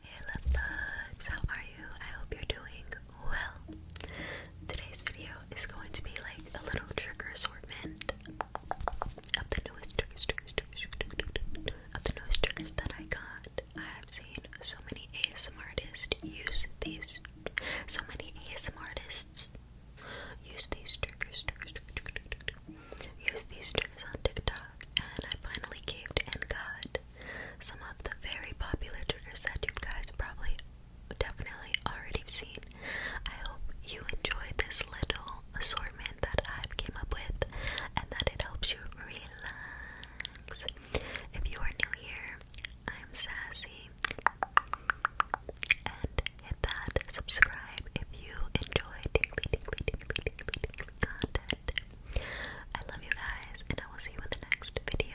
Hey love bugs, how are you? I hope you're doing well. Today's video is going to be like a little trigger assortment of the newest triggers, of the newest triggers that I got. I've seen so many ASMR artists use these. So many ASMR artists use these triggers, triggers use these triggers on TikTok, and I finally caved and got some of the very popular trigger that you guys probably definitely already seen. I hope you enjoy this little assortment that I've came up with and that it helps you relax. If you are new here, I'm Sassy. And hit that subscribe if you enjoy tingly, content. I love you guys, and I will see you in the next video.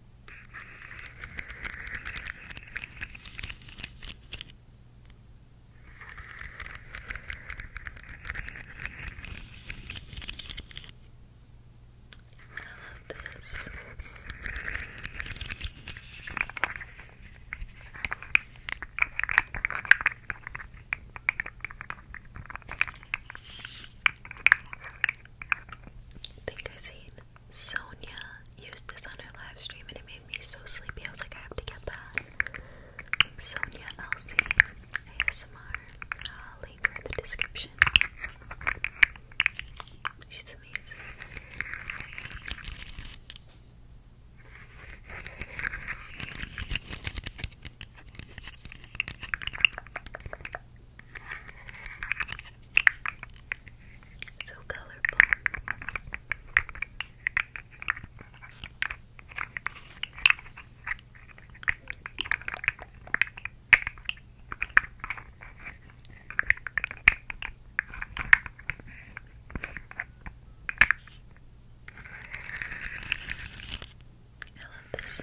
this. I think i seen Sonia used this on her live stream and it made me so sleepy. I was like, I have to get that. Sonia Elsie ASMR. I'll link her in the description. She's amazing. So colorful. I love this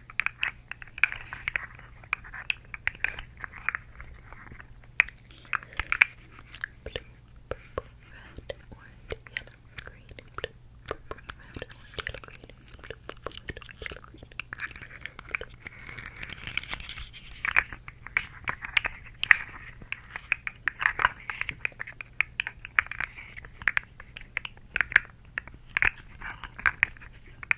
Blue, purple, red, orange, yellow, green, blue, purple, red, orange, yellow, green, blue, purple, red, orange, yellow, green. Blue.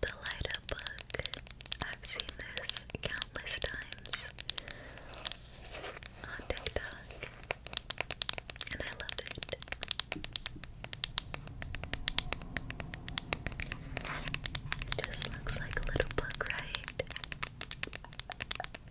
The light up book. I've seen this countless times on TikTok, and I love it. It just looks like a little book, right?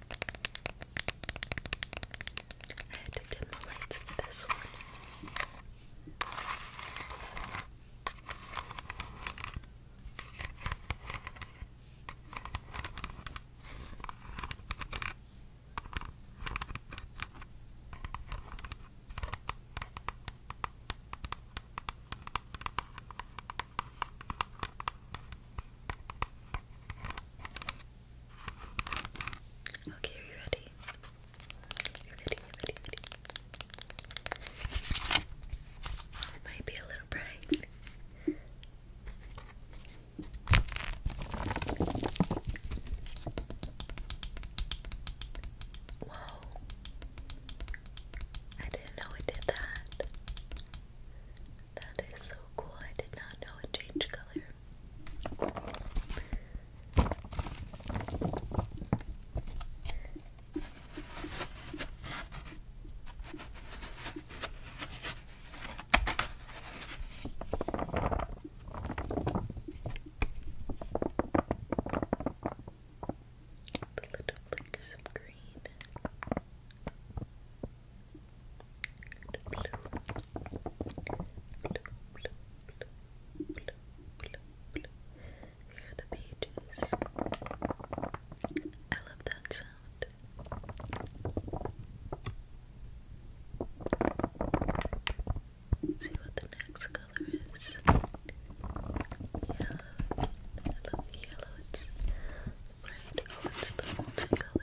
I had to dim the lights for this one. Okay, are you ready? are you're ready, ready. might be a little bright. Whoa. I didn't know it did that. That is so cool. I did not know it changed color. The little flickers of green. Here are the pages. I love that sound. see what the next color is. Yellow. I love the yellow. It's right. Oh, it's the multicolor.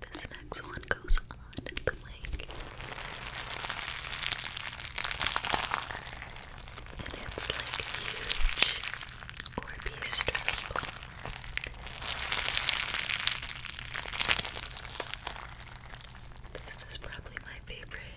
This next one goes on the lake. And it's like huge or be stressful. This is probably my favorite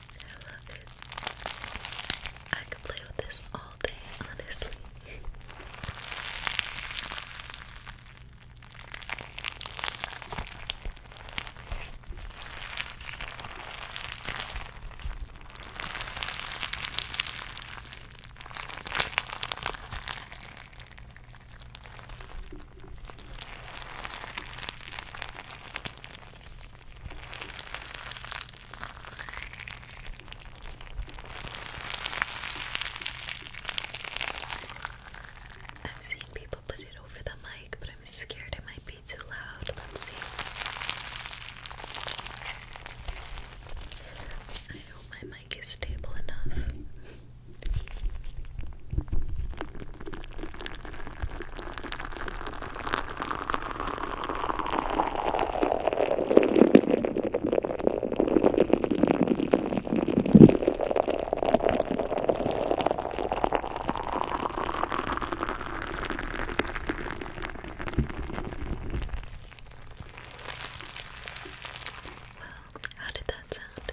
I love it. I could play with this all day, honestly. I've seen people put it over the mic, but I'm scared it might be too loud. Let's see. I know my mic is stable enough. Well, how did that sound?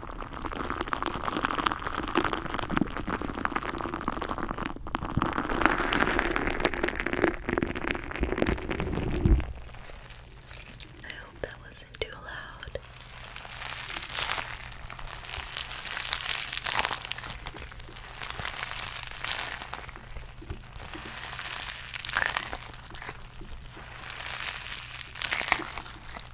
I hope that wasn't too loud.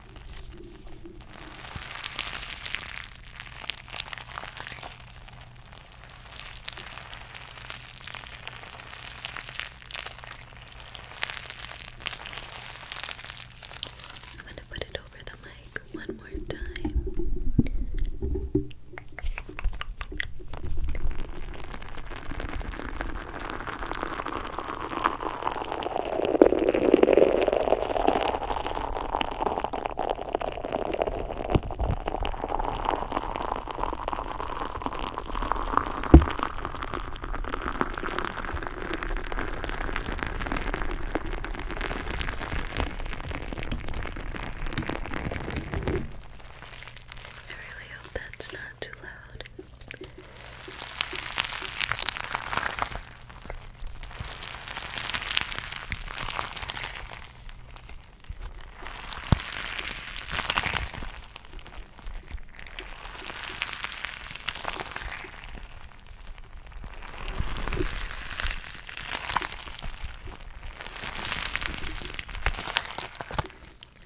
I'm going to put it over the mic one more time. I really hope that's not too loud.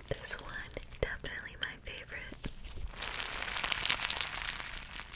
This one, definitely my favorite.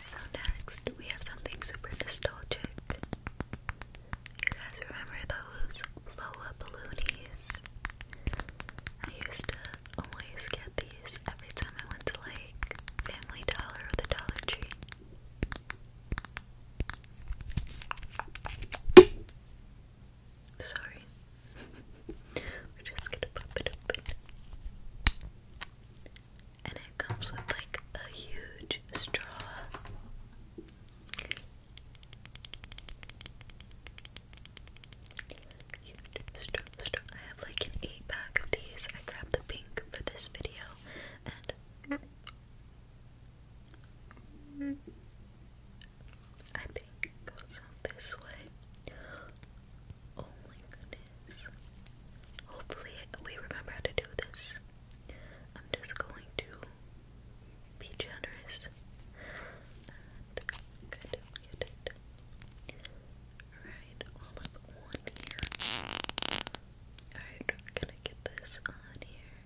So next we have something super nostalgic. You guys remember those blow up balloonies? I used to always get these every time I went to like Family Dollar or the Dollar Tree. Sorry. We're just gonna pop it open. And it comes with like a huge straw. Huge straw, I have like an 8 pack of these. I grabbed the pink for this video and. I think it goes out this way. Oh my goodness. Hopefully, we remember how to do this. I'm just going to be generous and kind of all up one ear. Alright, gonna get this on here.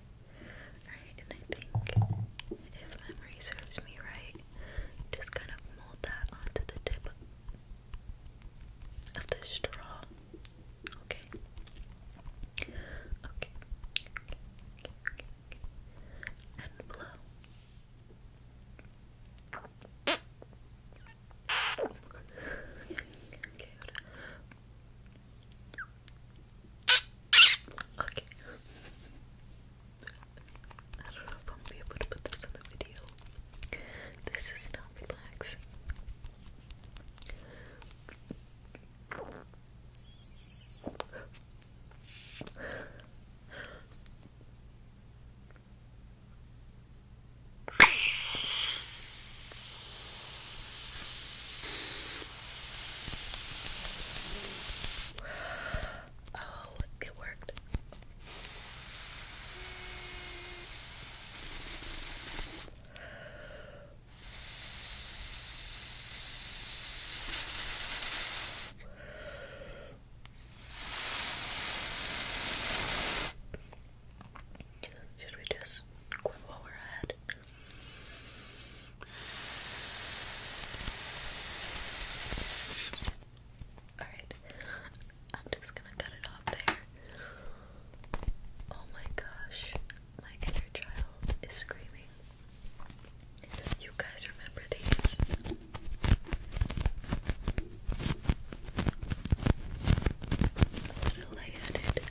Alright, and I think if memory serves me right, just kind of mold that onto the tip of the straw. Okay. Okay. Okay. Okay. okay, okay. And blow. okay, Okay. I don't know if I'm gonna be able to put this in the video. This is not relaxing. Oh, it worked. Should we just quit while we're ahead? Alright, I'm just gonna cut it off there. Oh my gosh, my inner child is screaming. You guys remember these? A little lightheaded.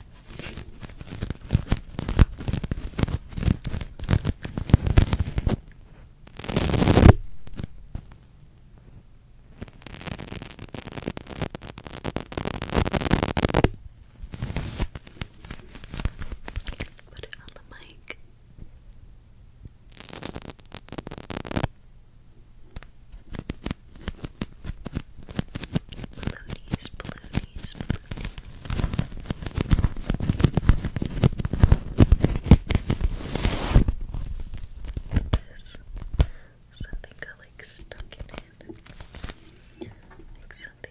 Put it on the mic. Balloonies, balloonies, balloonies this. Something got like stuck in it. Like something.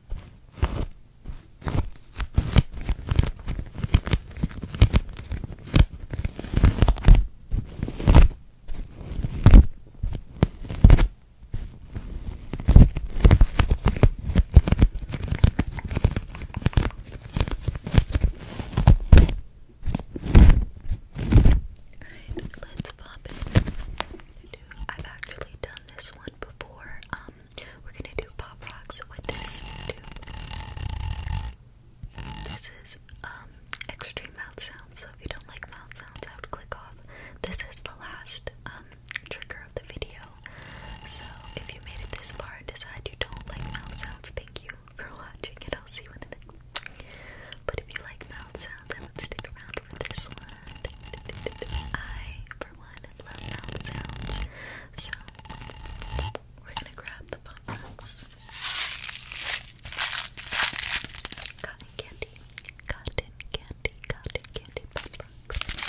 Alright, let's pop it. I've actually done this one before. Um, we're gonna do pop rocks with this This is um extreme mouth sounds, so if you don't like mouth sounds, I would click off. This is the last um trigger of the video. So if you made it this far and decide you don't like mouth sounds, thank you for watching and I'll see you in the next. But if you like mouth sounds, I would stick around for this one. I, for one, love sounds. So, we're gonna grab the pop rocks. Cotton candy, cotton candy, cotton candy pop rocks.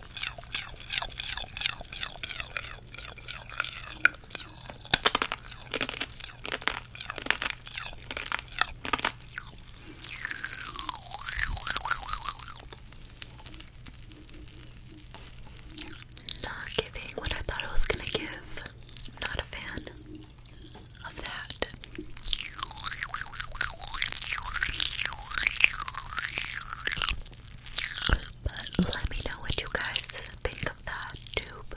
Not giving what I thought I was going to give. not a fan of that. But let me know what you guys think of that tube.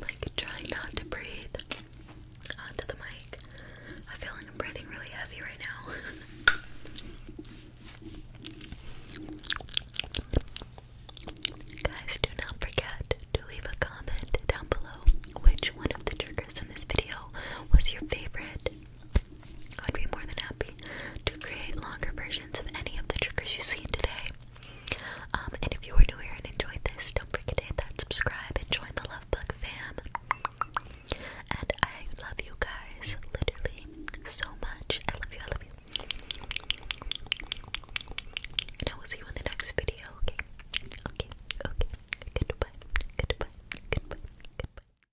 Like trying not to breathe onto the mic. I feel like I'm breathing really heavy right now. Guys, do not forget to leave a comment down below which one of the triggers in this video was your favorite. I would be more than happy to create longer versions of any of the triggers you have seen today. Um, and if you are new here and enjoyed this, don't forget to hit that subscribe and join the Love Bug fam. And I love you guys literally so much. I love you, I love you. And I will see you in the next video, okay? Okay, okay. Goodbye, goodbye, goodbye, goodbye.